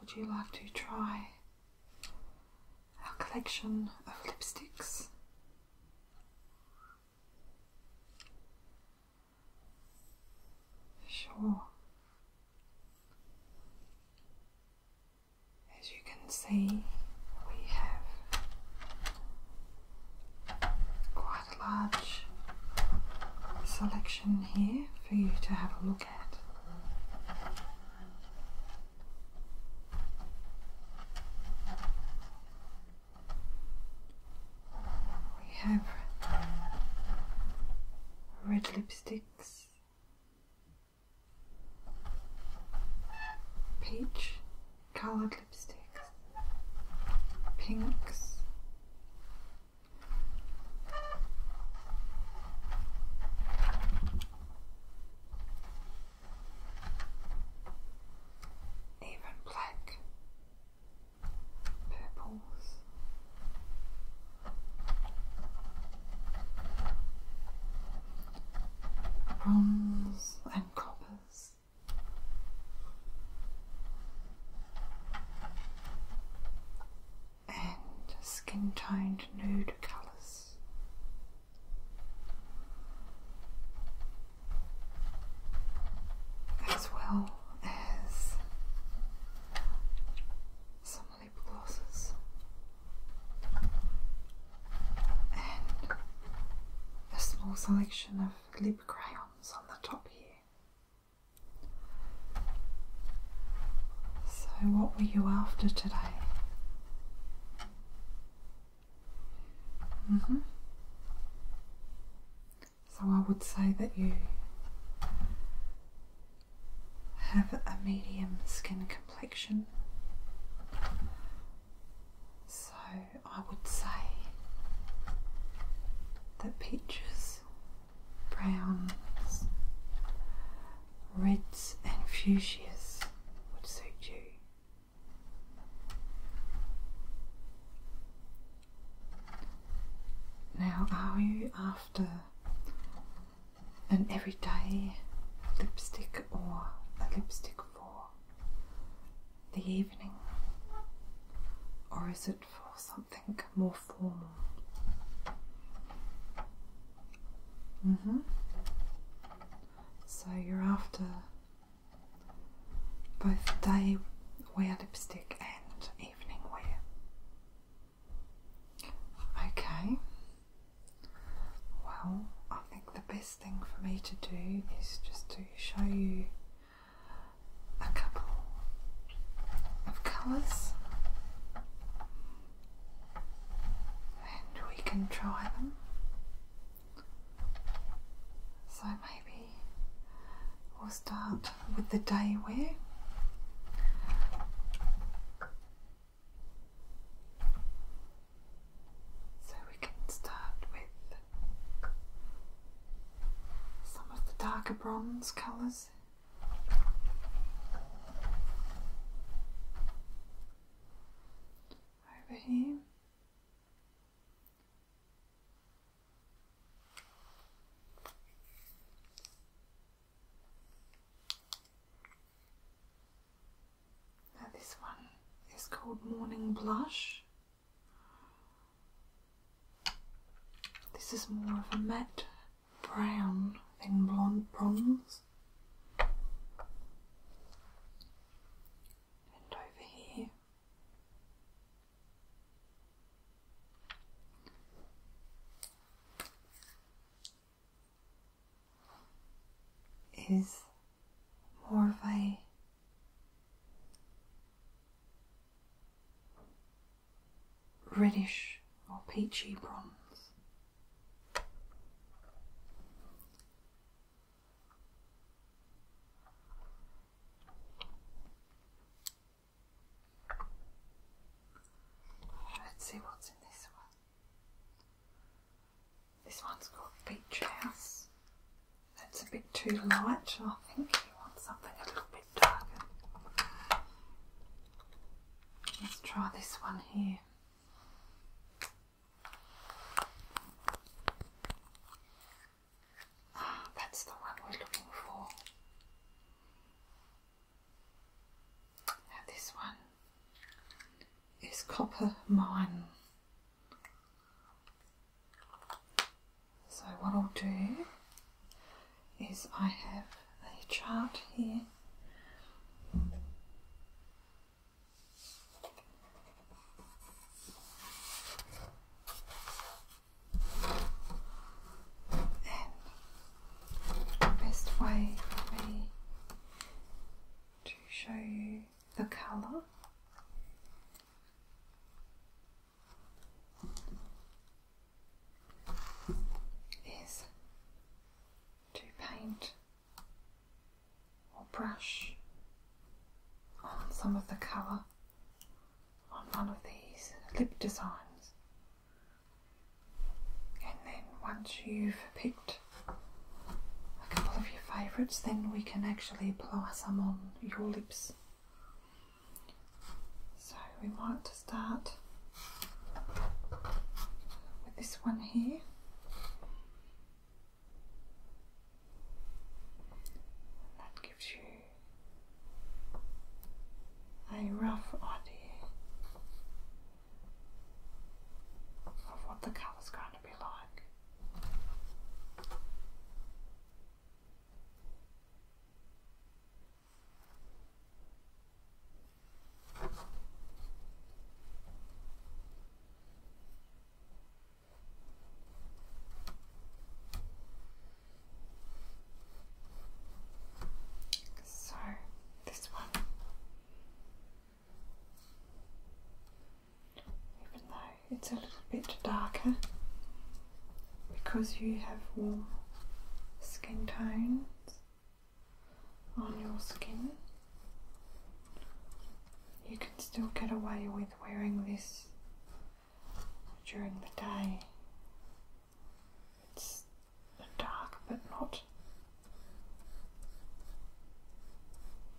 would you like to try our collection of lipsticks? Sure. As you can see, we have quite a large selection here for you to have a look at. We have red lipsticks, peach coloured lipsticks, pinks, even black purples. Bronze and coppers and skin toned nude colours. As well as some lip glosses and a small selection of lip crayons on the top here. So, what were you after today? -hmm. So, I would say that you have a medium skin complexion. So, I would say that peaches reds, browns, reds and fuchsias would suit you. Now, are you after an everyday lipstick or a lipstick for the evening? Or is it for something? something more formal. Mm-hmm. So you're after both day wear lipstick and evening wear. Okay. Well, I think the best thing for me to do is just to show you a couple of colours and we can try them. So maybe we'll start with the day wear. So we can start with some of the darker bronze colours over here. this one is called Morning Blush. This is more of a matte brown than blonde bronze. And over here. Is more of a reddish or peachy bronze. Let's see what's in this one. This one's called Beach That's a bit too light, I think. You want something a little bit Let's try this one here. Ah, that's the one we're looking for. Now, this one is Copper Mine. So, what I'll do is I have a chart here and the best way for me to show you the colour is to paint or brush on some of the colour on one of these lip designs, and then once you've picked a couple of your favourites, then we can actually apply some on your lips. So we want to start with this one here. that gives you a rough idea of what the colour's going to be like. So this one, even though it's a little bit darker, because you have warm skin tones on your skin, you can still get away with wearing this during the day. It's dark but not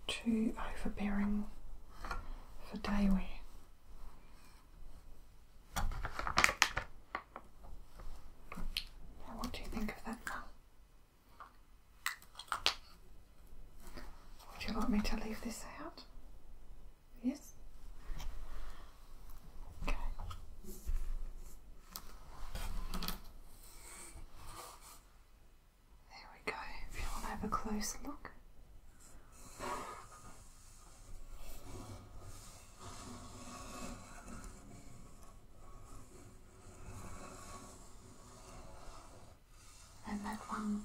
too overbearing for day what do you think of that now? Would you like me to leave this out? Yes? Okay. There we go. If you want to have a close look, and that one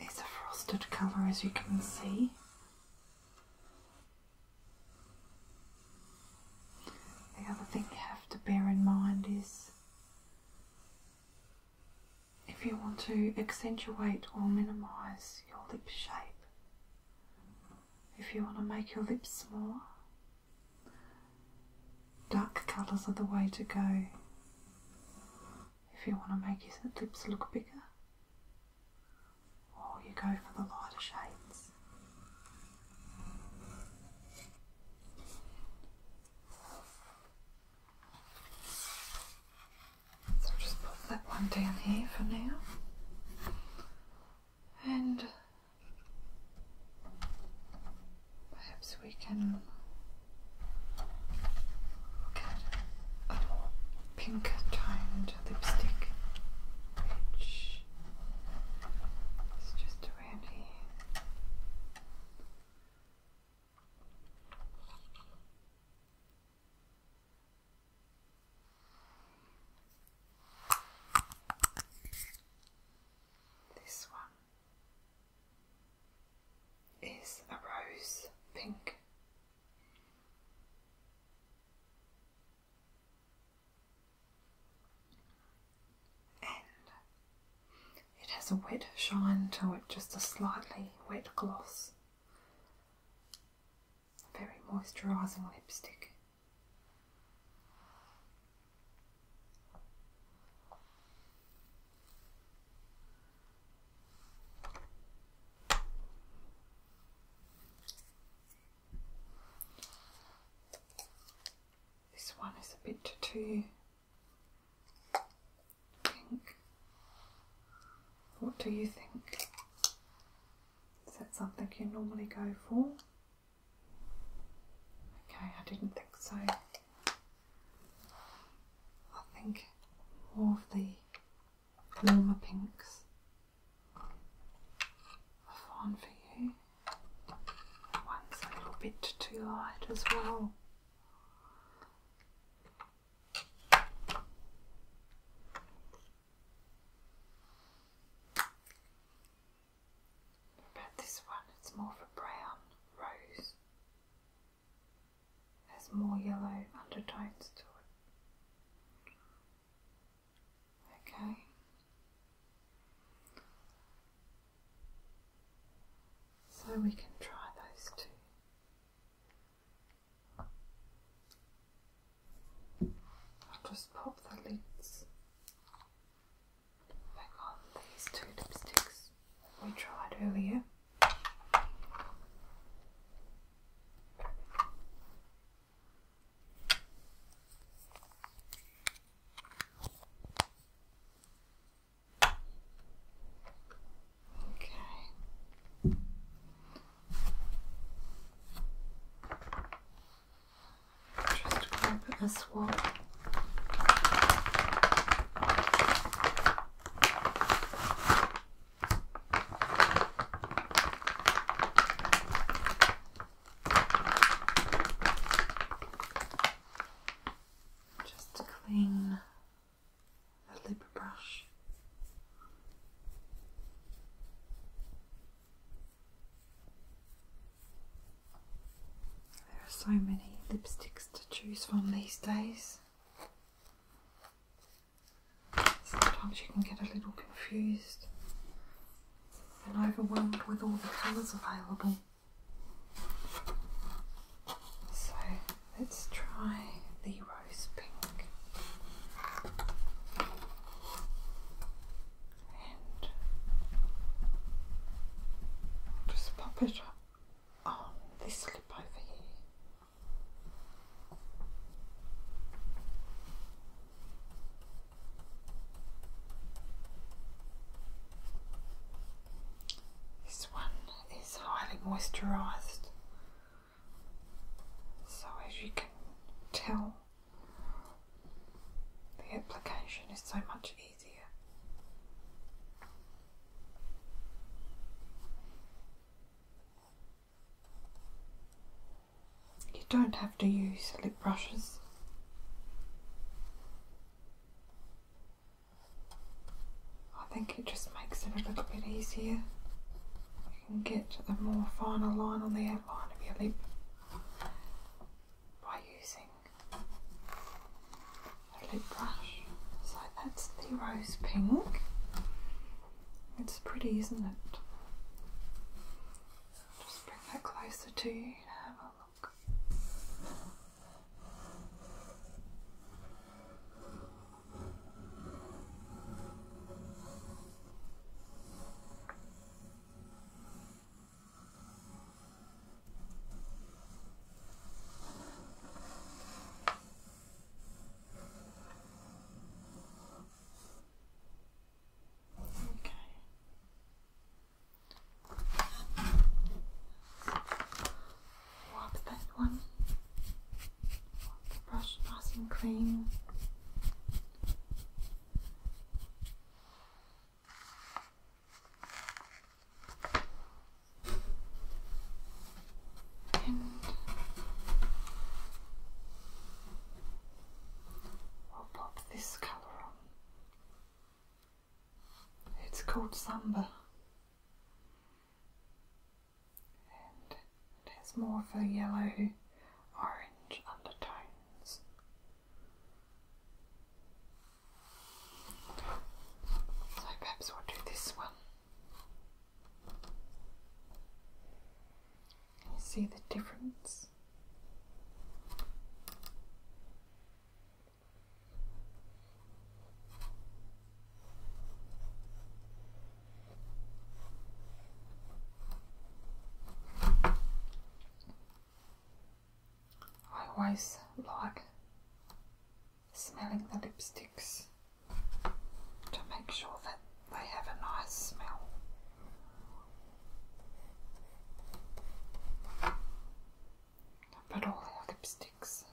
is a frosted cover, as you can see. The other thing you have to bear in mind is if you want to accentuate or minimise your lip shape. If you want to make your lips small, dark colours are the way to go. If you want to make your lips look bigger, or you go for the lighter shades. So just put that one down here for now. And perhaps we can look a more pink toned lipstick, which is just around here. This one is a rose pink. And it has a wet shine to it, just a slightly wet gloss very moisturizing lipstick. This one is a bit too pink. What do you think? Is that something you normally go for? Okay, I didn't think so. I think more of the warmer pinks are fine for you. That one's a little bit too light as well this one? It's more of a brown rose. There's more yellow undertones to it. Okay. So we can try those two. I'll just pop the lids back on these two lipsticks we tried earlier. Okay. Just grab a swab. Just to clean the lip there are so many lipsticks to choose from these days. Sometimes you can get a little confused and overwhelmed with all the colours available. So let's try the just pop it on this lip over here. This one is highly moisturised so as you can tell, the application is so much easier. You don't have to use lip brushes. I think it just makes it a little bit easier you can get a more final line on the outline of your lip by using a lip brush. So that's the rose pink. It's pretty, isn't it? Just bring that closer to you to have a look. Okay. What's that one? brush nice and clean. And we'll pop this colour on. It's called Samba and it has more of a yellow orange undertones. So perhaps we'll do this one. you see the difference? I always like smelling the lipsticks to make sure that they have a nice smell. But all our lipsticks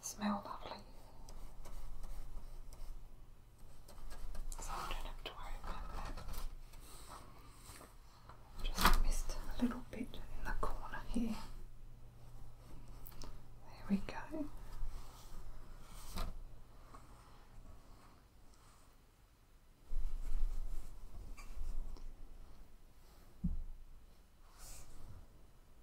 smell lovely. So I don't have to worry about that. Just missed a little bit in the corner here. There we go.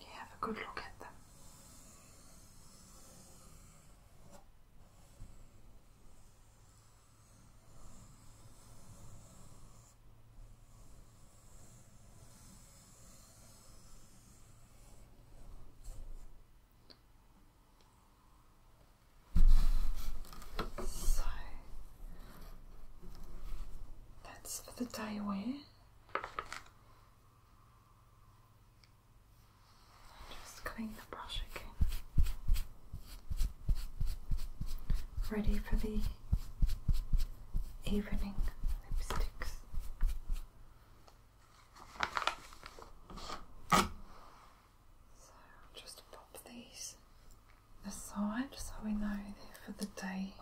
You have a good look at them. So that's for the day wear. Just clean the brush again. Ready for the evening lipsticks. So just pop these aside so we know they're for the day.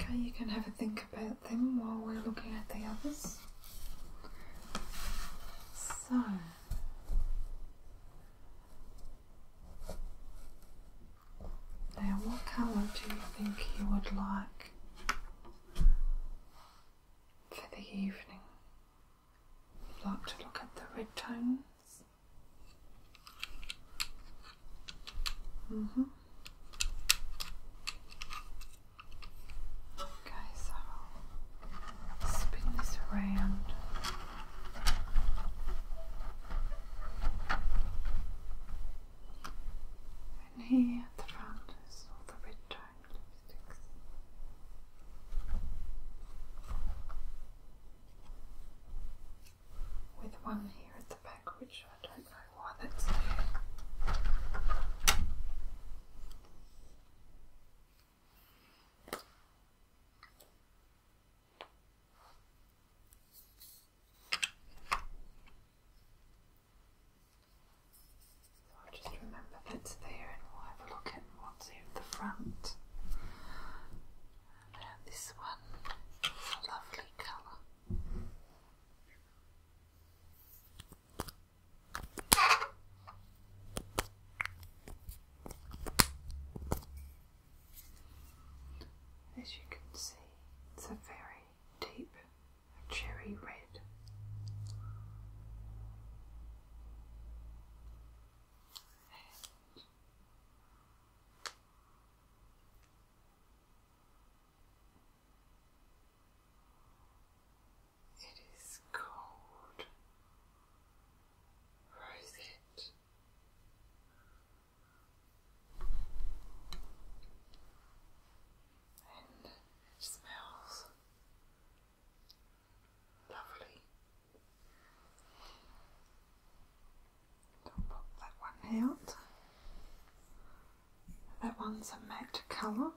Okay, you can have a think about them while we're looking at the others. So, now what colour do you think you would like? for the evening. I'd like to look at the red tones. Mm-hmm. Okay, so spin this around here at the front is all the red triangle sticks. With one here at the back, which I don't know why that's there. So i just remember that's there and we'll have a look at what's in the front. And this one lovely colour. As you can see, it's a very deep cherry red. it is called Rosette and it smells lovely. I'll pop that one out. That one's a matte colour.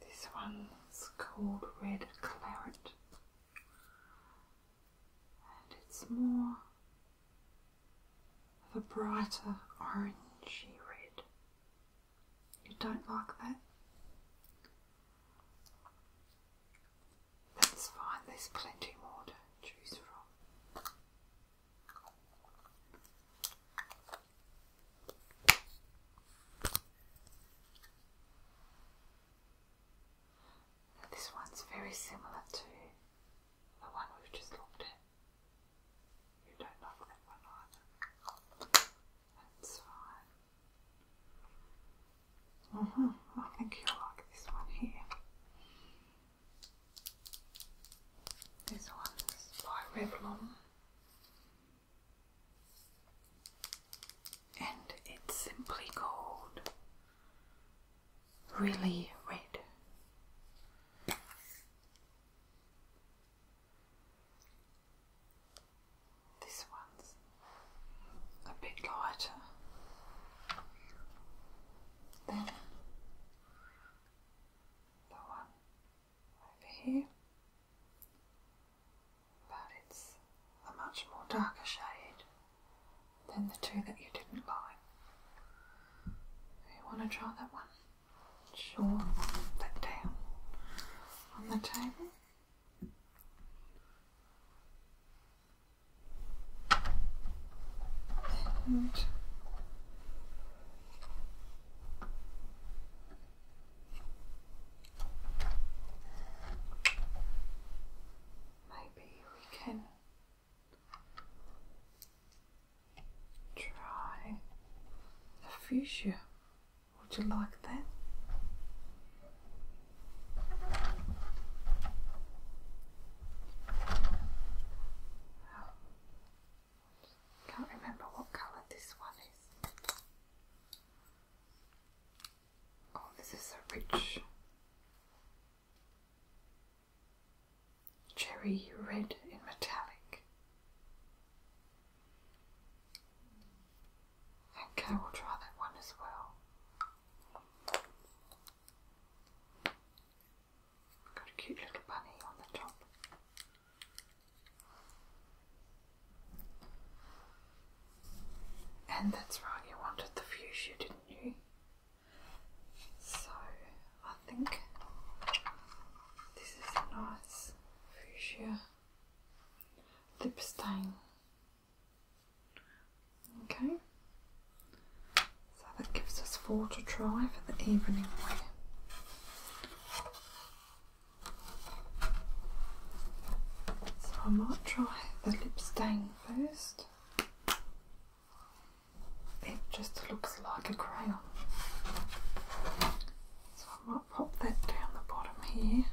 This one's called Red Claret and it's more of a brighter orangey red. You don't like that? That's fine, there's plenty more to choose from this one's very similar to the one we've just looked at. You don't like that one either. That's fine. Mm-hmm. I think you'll like this one here. This one's by Revlon and it's simply gold. Really Red. This one's a bit lighter. Then the one over here, but it's a much more darker shade. Then the two that you didn't like. You want to draw that one? Sure, put down on the table maybe we can try a fuchsia. Would you like that? Can't remember what colour this one is. Oh, this is a rich cherry red in metallic. I think will try that one as well. Got a cute little bunny on the top. And that's right, you wanted the fuchsia, didn't you? So I think this is a nice fuchsia lip stain. Okay, so that gives us four to try for the evening wear. So I might try the lip stain first it just looks like a crayon. So I might pop that down the bottom here.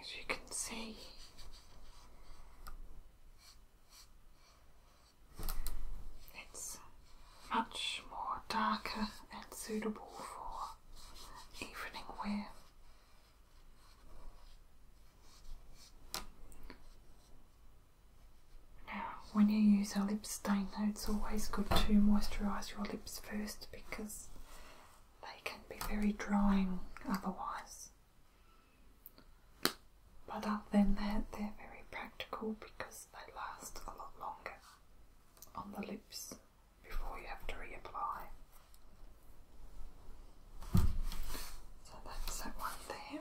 As you can see, it's much more darker and suitable for evening wear. Now, when you use a lip stain, it's always good to moisturise your lips first because they can be very drying otherwise. But other than that, they're very practical because they last a lot longer on the lips before you have to reapply. So that's that one there.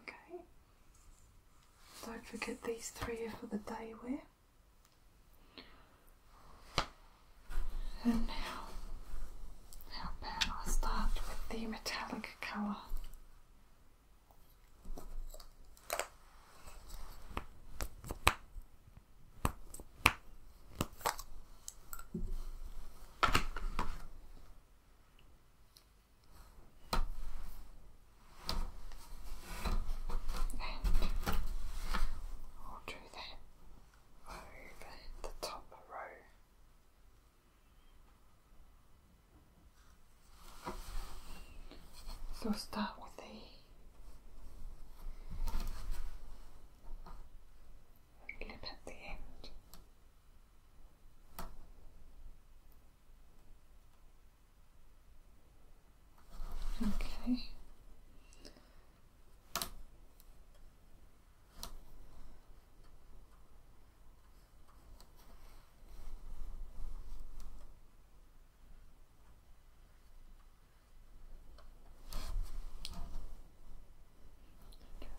Okay. Don't forget these three are for the day wear. And now now Ben, I'll start with the metallic colour. And do that over the top row. So start with the lip at the end. Okay.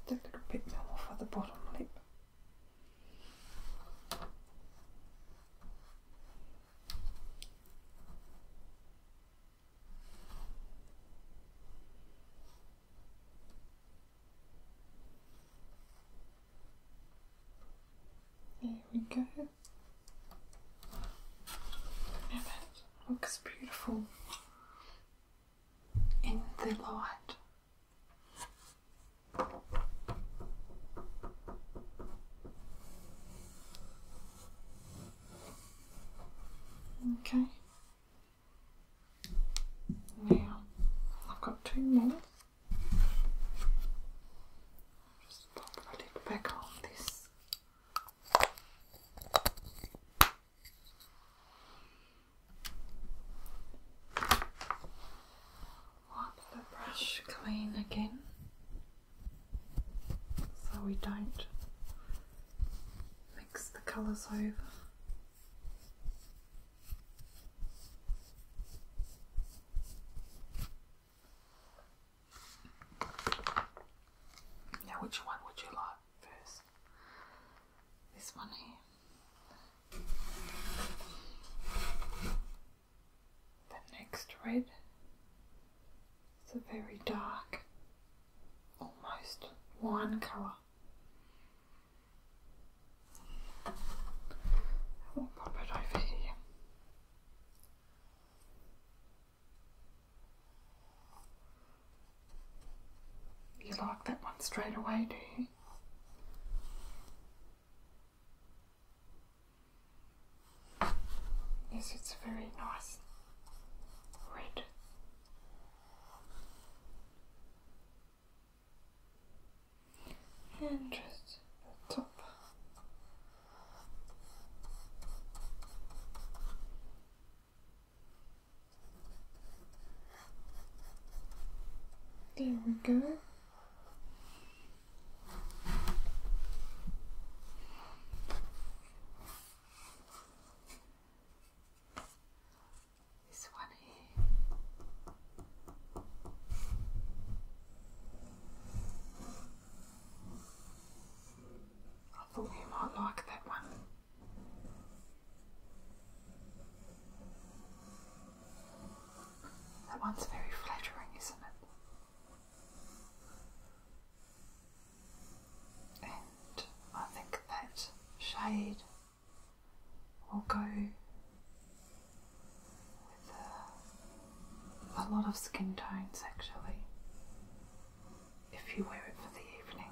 That little bit more for the bottom lip. There we go. Now that looks beautiful in the light. Okay, now, I've got two more. Just pop the lid back on this. Wipe the brush clean again so we don't mix the colours over. Now, which one would you like first? This one here. The next red. It's a very dark, almost wine colour. We'll pop it here. You like that one straight away, do you? Yes, it's very nice red and just the top. There we go. This one here. I thought you might like that one. That one's very flattering, isn't it? And I think that shade will go with a, uh, a lot of skin tones actually if you wear it for the evening.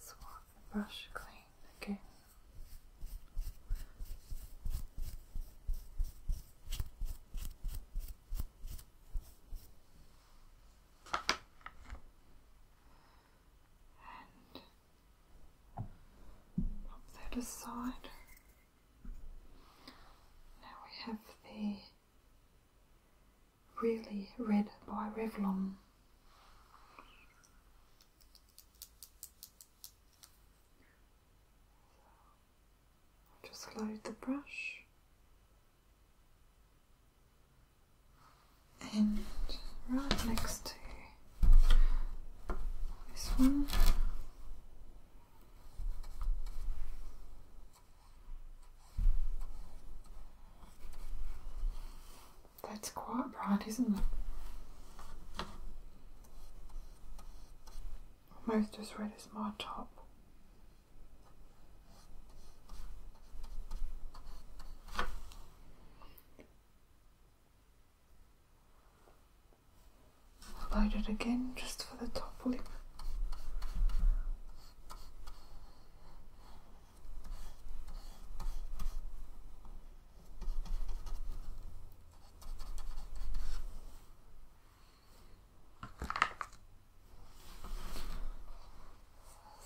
Swap the brush clean again. And pop that aside. Now we have the Really Red by Revlon. Just load the brush and right next to this one. That's quite bright, isn't it? Almost as red as my top. I'll load it again just for the top lip.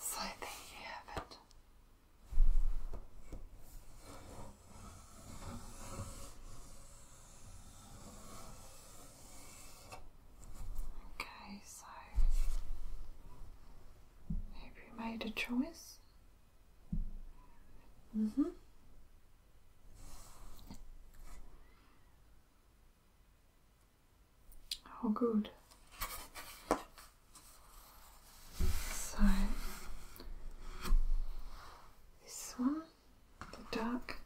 So there you have it. Okay, so I you made a choice Mm hmm Oh, good. So this one, the duck.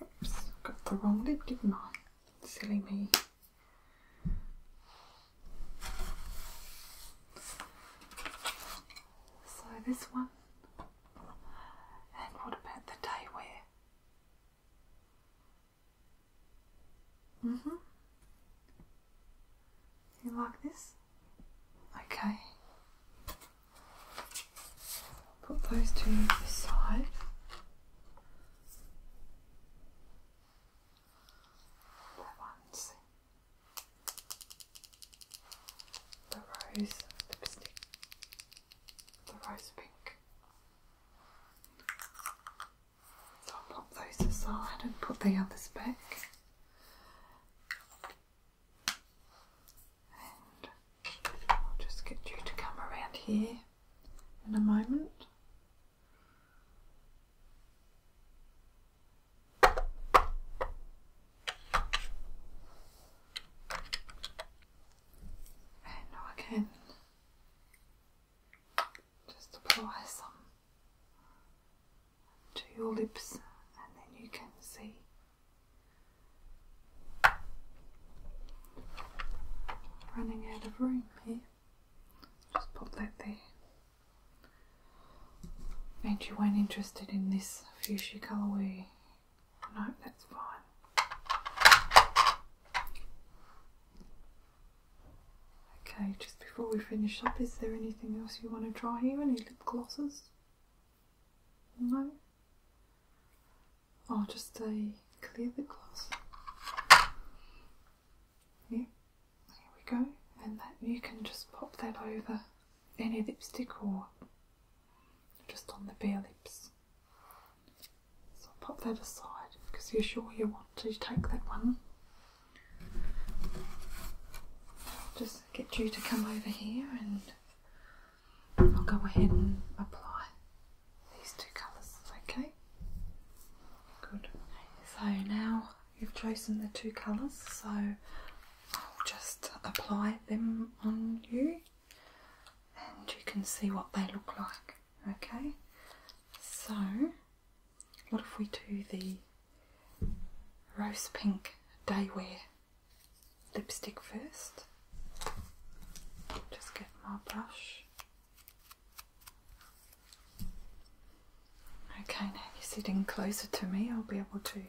Oops, got the wrong lid, didn't I? Silly me. So this one. And what about the day where? Mm-hmm. You like this? Okay. Put those two aside. The ones, the rose lipstick, the rose pink. So I'll pop those aside and put the others back. I'll just get you to come around here in a moment. And I can just apply some to your lips, and then you can see Running out of room here. Just pop that there. And you weren't interested in this fuchsia colourway. No, that's fine. Okay, just before we finish up, is there anything else you want to try here? Any lip glosses? No? I'll oh, just clear the glass. Here, there we go. And that you can just pop that over any lipstick or just on the bare lips. So I'll pop that aside because you're sure you want to take that one. just get you to come over here and I'll go ahead and apply these two colours, okay? Good. So now you've chosen the two colours, so I'll just apply them on you and you can see what they look like, okay? So, what if we do the rose pink day wear lipstick first? Just get more brush. Okay, now you're sitting closer to me, I'll be able to.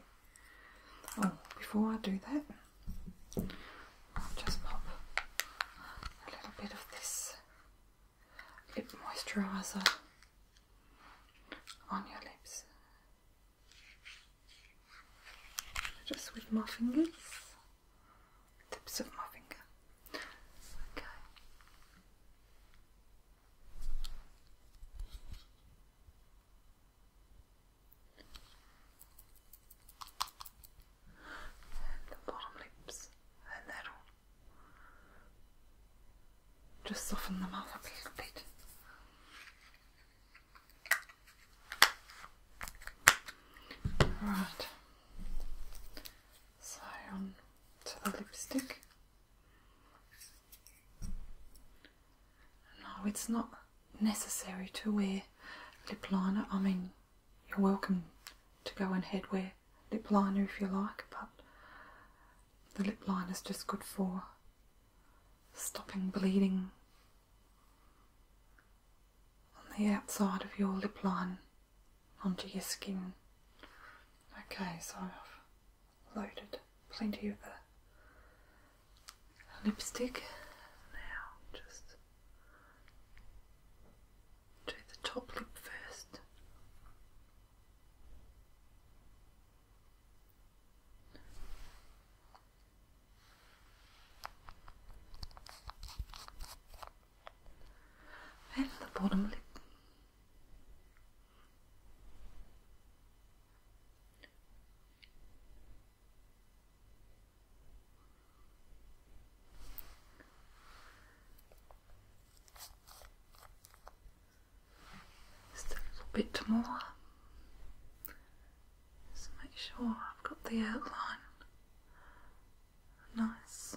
Oh, before I do that, I'll just pop a little bit of this lip moisturiser on your lips. Just with my fingers tips of my finger. Okay. And the bottom lips, and that all. Just soften them up a little bit. Right. So on to the lipstick. No, it's not necessary to wear lip liner. I mean, you're welcome to go and head wear lip liner if you like, but the lip liner is just good for stopping bleeding on the outside of your lip line onto your skin. Okay, so I've loaded plenty of the lipstick. Now just do the top lip first and the bottom lip. Just a little bit more. Just make sure I've got the outline Nice.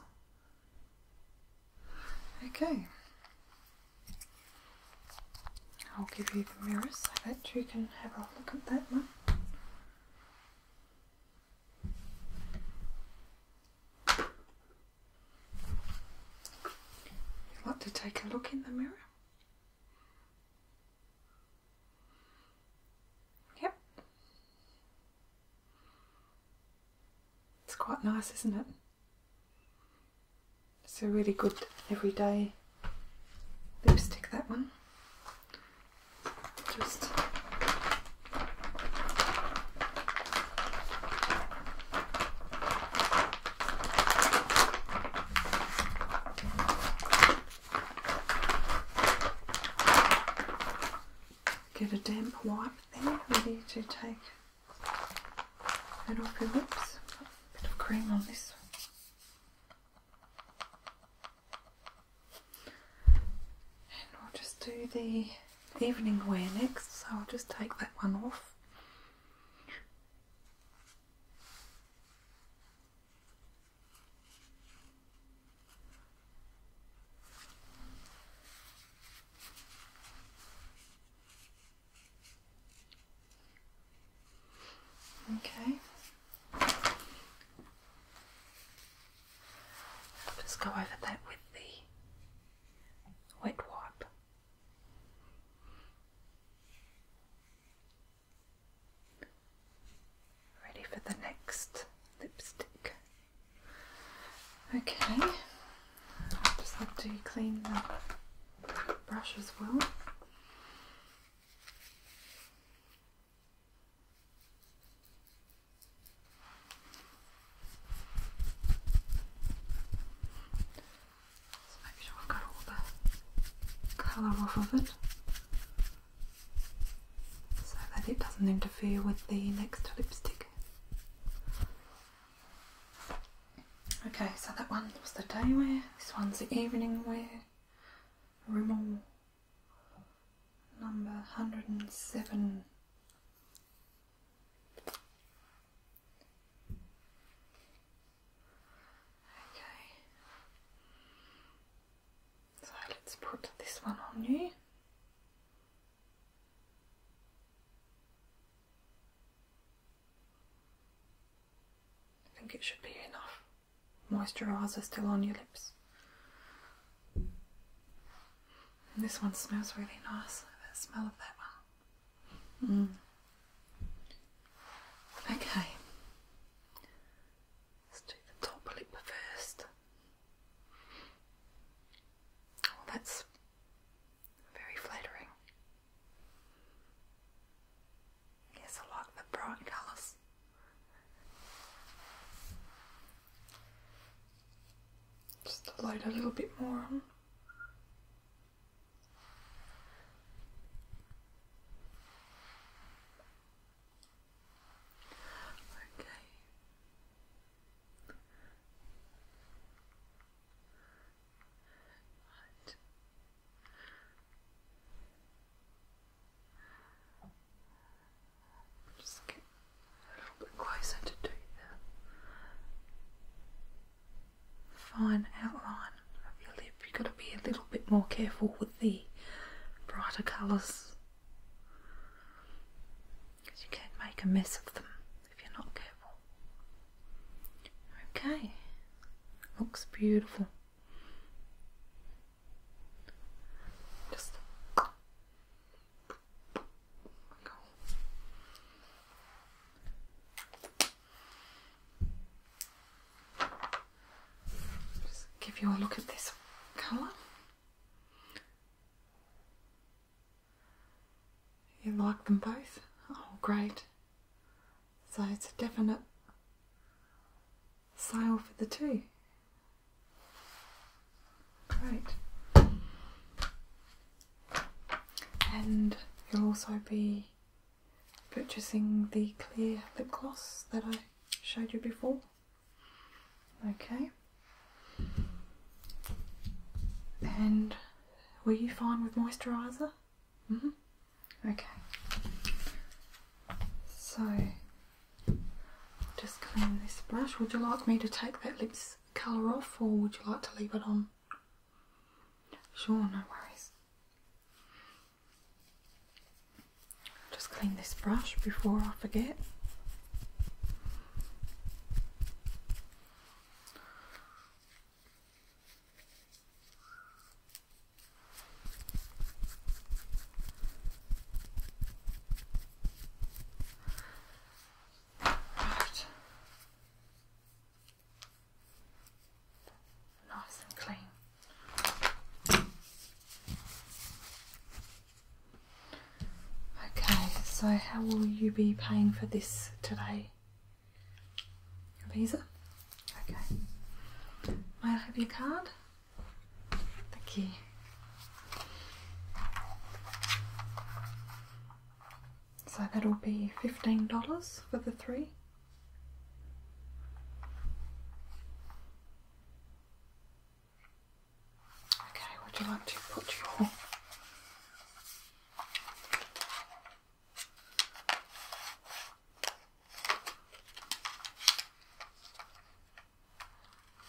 Okay. I'll give you the mirror so that you can have a look at that one. You want to take a look in the mirror? Yep. It's quite nice, isn't it? It's a really good everyday lipstick, that one. Just Get a damp wipe there ready to take it off your lips. A bit of cream on this And we'll just do the evening wear next, so I'll just take that one off. Okay. Just go over that with the wet wipe. Ready for the next lipstick. Okay, i just have to clean the brush as well. make sure I've got all the colour off of it so that it doesn't interfere with the next lipstick. Okay, so that one was the day wear, this one's the evening wear. Rimmel number 107. Okay, so let's put this one on you. I think it should be enough moisturizer still on your lips. this one smells really nice, the smell of that one. Mm. Okay. Let's do the top lip first. Well, oh, that's very flattering. Yes, I like the bright colours. Just load a little bit more on. Okay. Just get a little bit closer to do that. Fine outline of your lip. You've got to be a little bit more careful with the brighter colours because you can not make a mess of them if you're not careful. Okay, looks beautiful. Just give you a look at this colour. You like them both? Oh, great. So it's a definite sale for the two. Great. And you'll also be purchasing the clear lip gloss that I showed you before. Okay. And were you fine with moisturiser? hmm Okay. So I'll just clean this brush. Would you like me to take that lips colour off or would you like to leave it on? Sure, no worries. Just clean this brush before I forget. Right. Nice and clean. Okay, so how will you be paying for this today? Your visa? Okay. May I have your card? Thank you. So that'll be $15 for the three. Okay, would you like to put your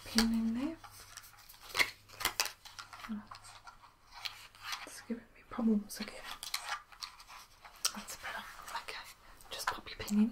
pin in there? it's giving me problems again. That's better. Okay, just pop your pin in.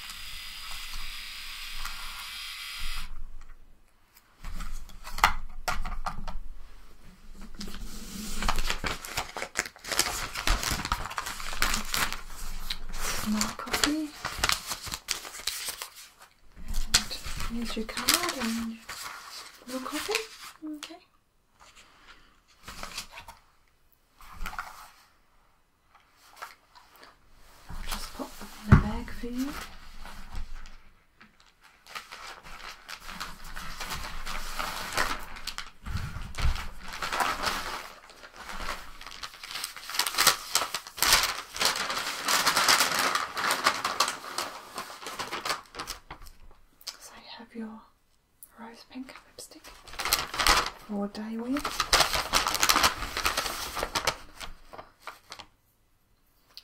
More coffee. And here's your card and more coffee. Okay. I'll just pop them in a bag for you. So you have your rose pink lipstick for day wear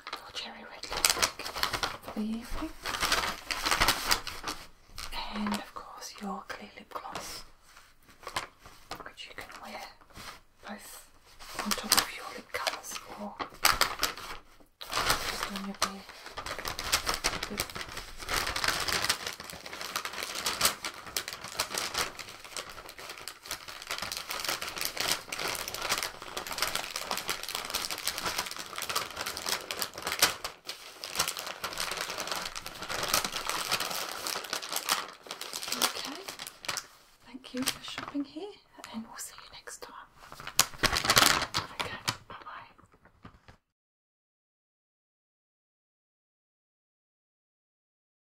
for Cherry Red Lipstick for the evening. And of course your clear lip gloss, which you can wear both on top of your lip colours or on your bare lip. Okay, thank you for shopping here, and we'll see you next time. Okay, bye bye.